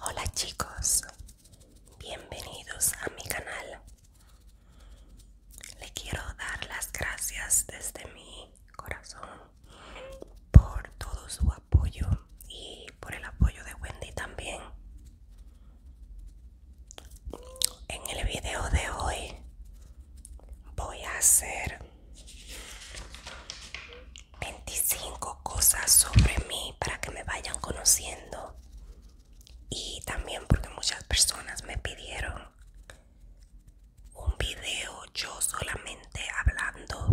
Hola chicos, bienvenidos a mi canal. Le quiero dar las gracias desde mi corazón por todo su apoyo y por el apoyo de Wendy también. En el video de hoy voy a hacer 25 cosas sobre mí para que me vayan conociendo y también porque muchas personas me pidieron un video yo solamente hablando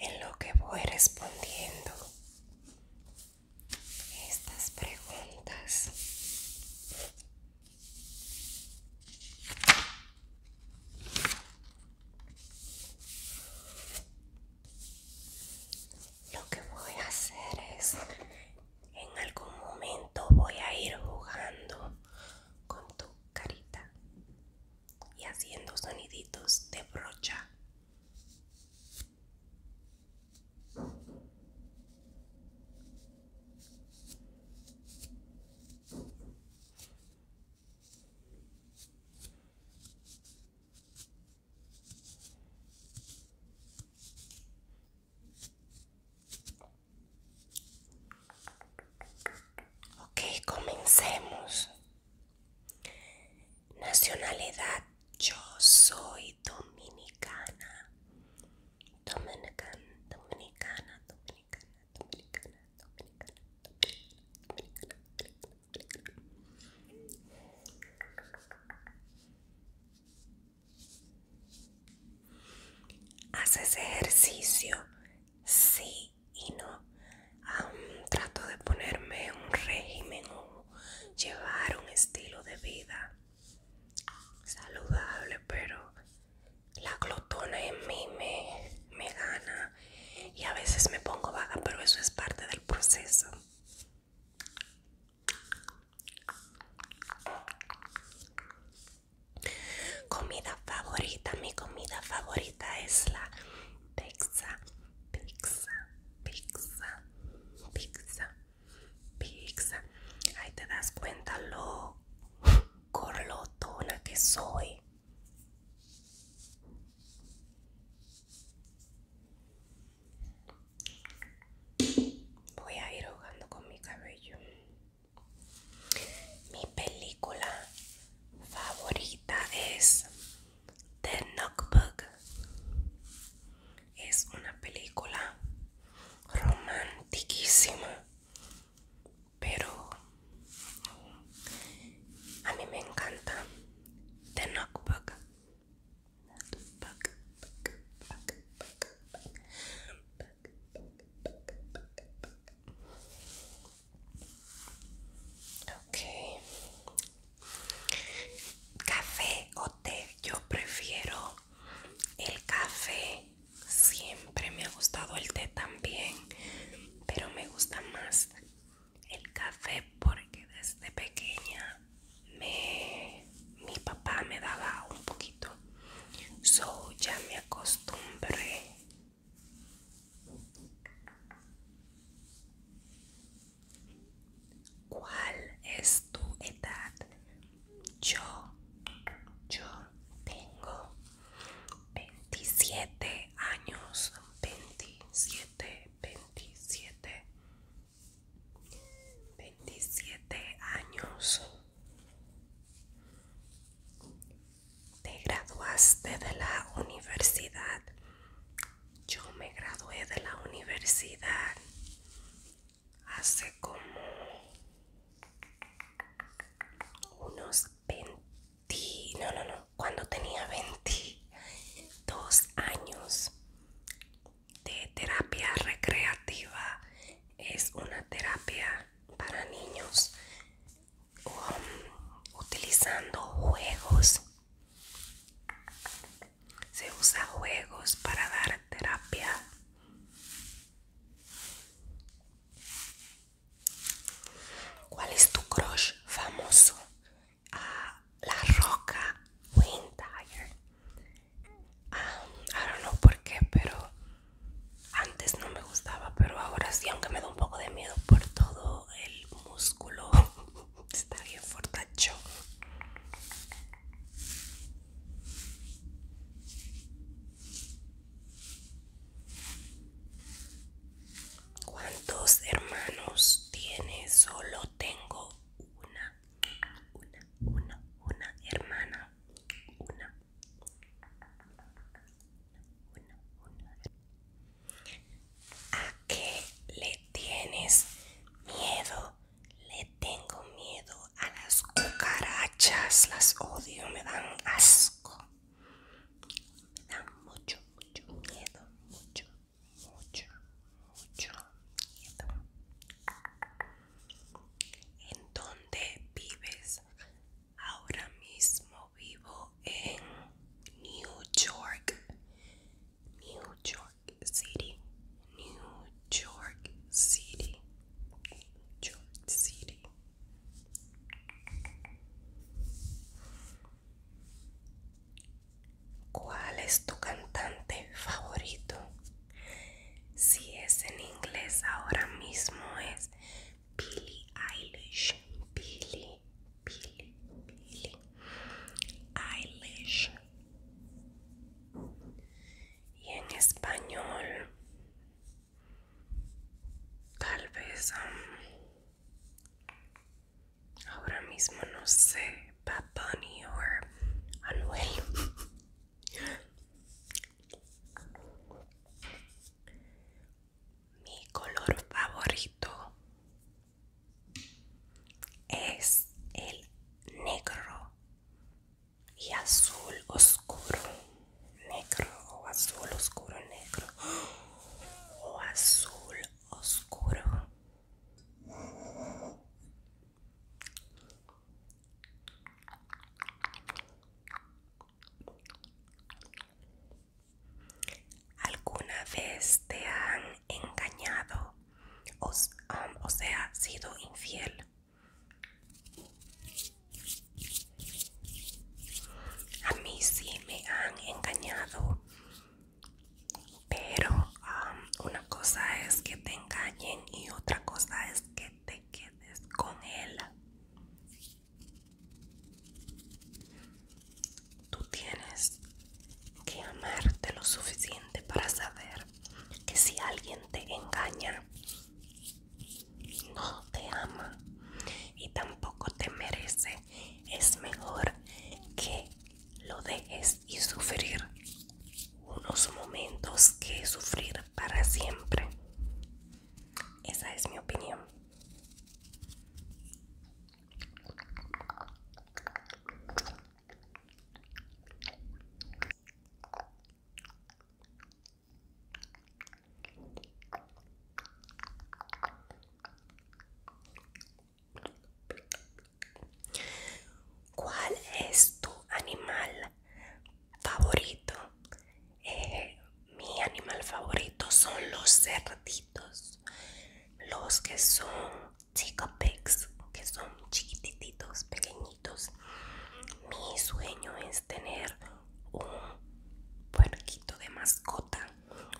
En lo que voy respondiendo, estas preguntas. Lo que voy a hacer es, en algún momento voy a ir jugando con tu carita y haciendo soniditos de brocha. Okay, comencemos. Nacionalidad yo soy dominicana. dominicana, dominicana, dominicana, dominicana, ¿Haces ejercicio? Sí y no. trato de ponerme un régimen o llevar un estilo de vida saludable, pero la glotona en mí me, gana y a veces me pongo vaga, pero eso es parte del proceso. Comida favorita, mi comida favorita es la pizza, pizza, pizza, pizza pizza. Ahí te das cuenta lo corlotona que soy. Voy a ir ahogando con mi cabello. Mi película favorita es The Notebook es una película romantiquísima, pero a mí me encanta The Notebook. Ok, Café o té, yo prefiero el café. Siempre me ha gustado el té también, pero me gusta más el café porque desde pequeña mi papá me daba un poquito. So ya me acostumbré. ¿Cuál es tu edad? Yo, yo tengo 27 años. 27, 27. 27 años. Te graduaste de la universidad. Yo me gradué de la universidad hace como unos 20, no, no, no, cuando tenía 22 años de terapia recreativa. Es una terapia para niños um, utilizando juegos se usa juegos para dar terapia. ¿Cuál es tu crush famoso? Ah, la Roca Winter. Dyer ah, no don't por qué, pero antes no me gustaba, pero ahora sí, aunque me da un poco de miedo por todo el músculo Está bien fortacho. ¿Cuántos hermanos tienes? Solo tengo una, una, una, una hermana. Una. Una, una. ¿A qué le tienes miedo? Le tengo miedo a las cucarachas. Las odio, me dan asco. Me dan mucho, mucho miedo. Mucho, mucho, mucho miedo. ¿En dónde vives? Ahora mismo vivo en New York. New York City, New York City, New York City. ¿Cuál es tu cantante favorito? Si es en inglés ahora mismo es Billie Eilish, Billie Billy, Billy Eilish. Y en español, tal vez um, ahora mismo no sé, Bad Bunny o Anuel. Mi color favorito es el negro y azul oscuro, negro o azul oscuro negro o azul oscuro. ¿Alguna vez te han engañado? O, sea, sido infiel. A mí sí me han engañado. Pero una cosa es que te engañen y otra cosa es que te quedes con él. Tú tienes que amarte lo suficiente para saber que si alguien te engaña, no te ama y tampoco te merece, es mejor que lo dejes y sufrir unos momentos que sufrir para siempre. Esa es mi opinión. ¿Cuál es tu animal favorito? Eh, mi animal favorito son los cerditos, los que son chico que son chiquititos, pequeñitos. Mi sueño es tener un puerquito de mascota,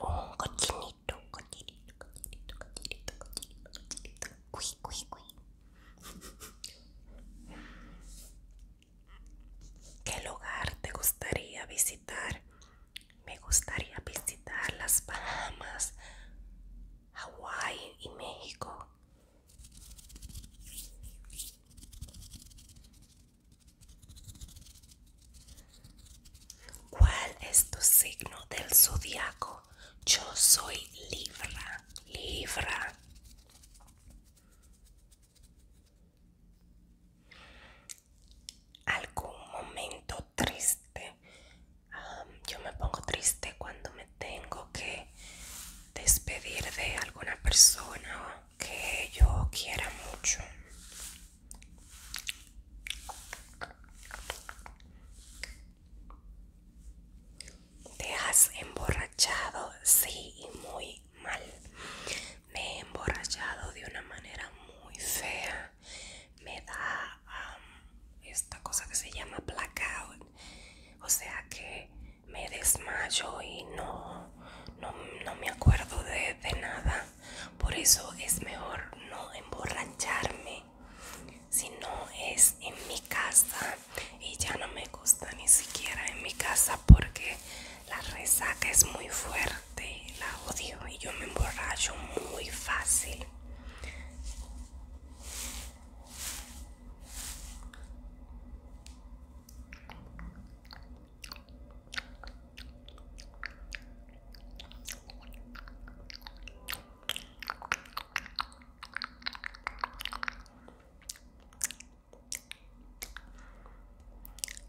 un cochinito, cochinito, cochinito, cochinito, cochinito, cochinito, cui, cuí, cuí. ¿Qué lugar te gustaría visitar me gustaría visitar las Bahamas, Hawái y México. ¿Cuál es tu signo del zodiaco? Yo soy Libra, Libra algún momento triste. yo me pongo triste cuando me tengo que despedir de alguna persona que yo quiera mucho. ¿Te has emborrachado? Sí, y muy mal. Me he emborrachado de una manera muy fea. Me da esta cosa que se llama blackout. O sea que me desmayo y no, no, me acuerdo de, de nada. Por eso es mejor no emborracharme. Si no es en mi casa y ya no me gusta ni siquiera en mi casa porque la resaca es muy fuerte la odio y yo me emborracho muy fácil.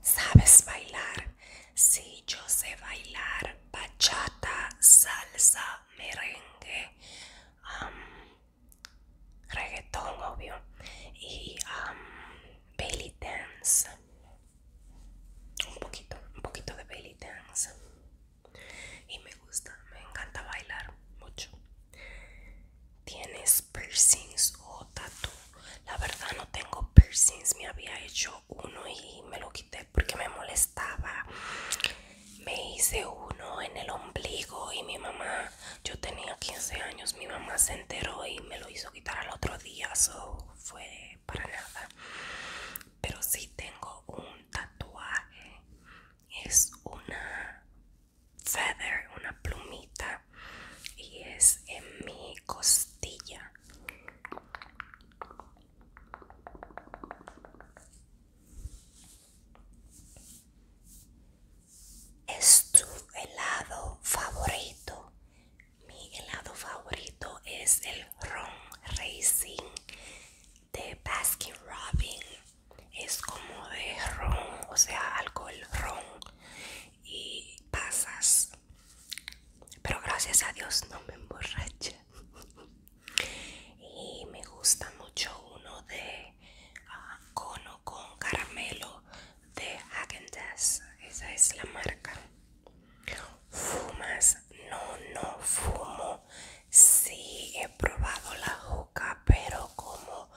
¿Sabes bailar? Sí, yo sé bailar bachata, salsa, merengue, reggaetón, obvio, y belly dance. Un poquito, un poquito de belly dance. Y me gusta, me encanta bailar mucho. ¿Tienes piercings o oh, tatu? La verdad no tengo piercings, me había hecho uno y me lo quité porque me molestaba. Me hice uno en el ombligo y mi mamá, yo tenía 15 años, mi mamá se enteró y me lo hizo quitar al otro día, eso fue para nada. Pero sí tengo un tatuaje, es una feather, una plumita, y es en mi costilla. Es tu helado favorito. Mi helado favorito es el ron racing de Baskin Robin. Es como de ron, o sea, alcohol ron y pasas. Pero gracias a Dios no me emborrache y me gusta mucho uno de ah, cono con caramelo de agendas Esa es la marca. ¿Fumas? No, no fumo. Sí, he probado la juca, pero como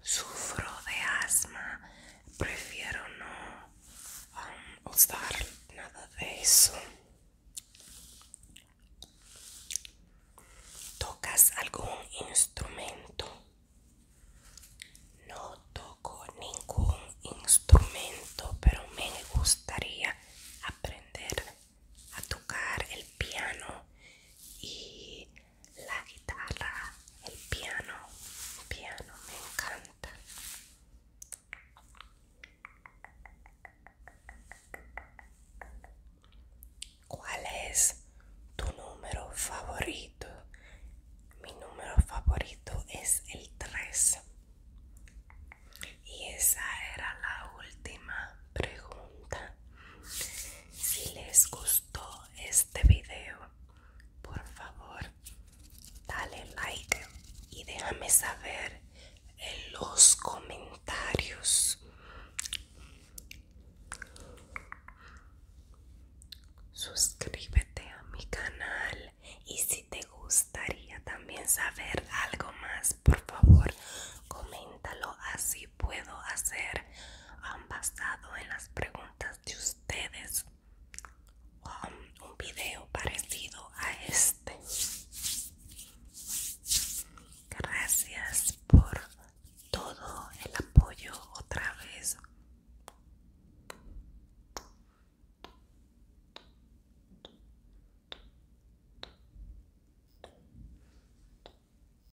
sufro de asma, prefiero no um, usar nada de eso. ¿Tocas algún instrumento? No toco ningún instrumento, pero me gustaría aprender a tocar el piano y la guitarra, el piano, piano me encanta. ¿Cuál es tu número favorito? Mi número favorito es el 3. Y esa era la última pregunta. Si les gustó este video, por favor, dale like y déjame saber en los comentarios suscríbete a mi canal y si te gustaría también saber algo más por favor coméntalo así puedo hacer han basado en las preguntas de ustedes um, un video parecido a este gracias por todo el apoyo otra vez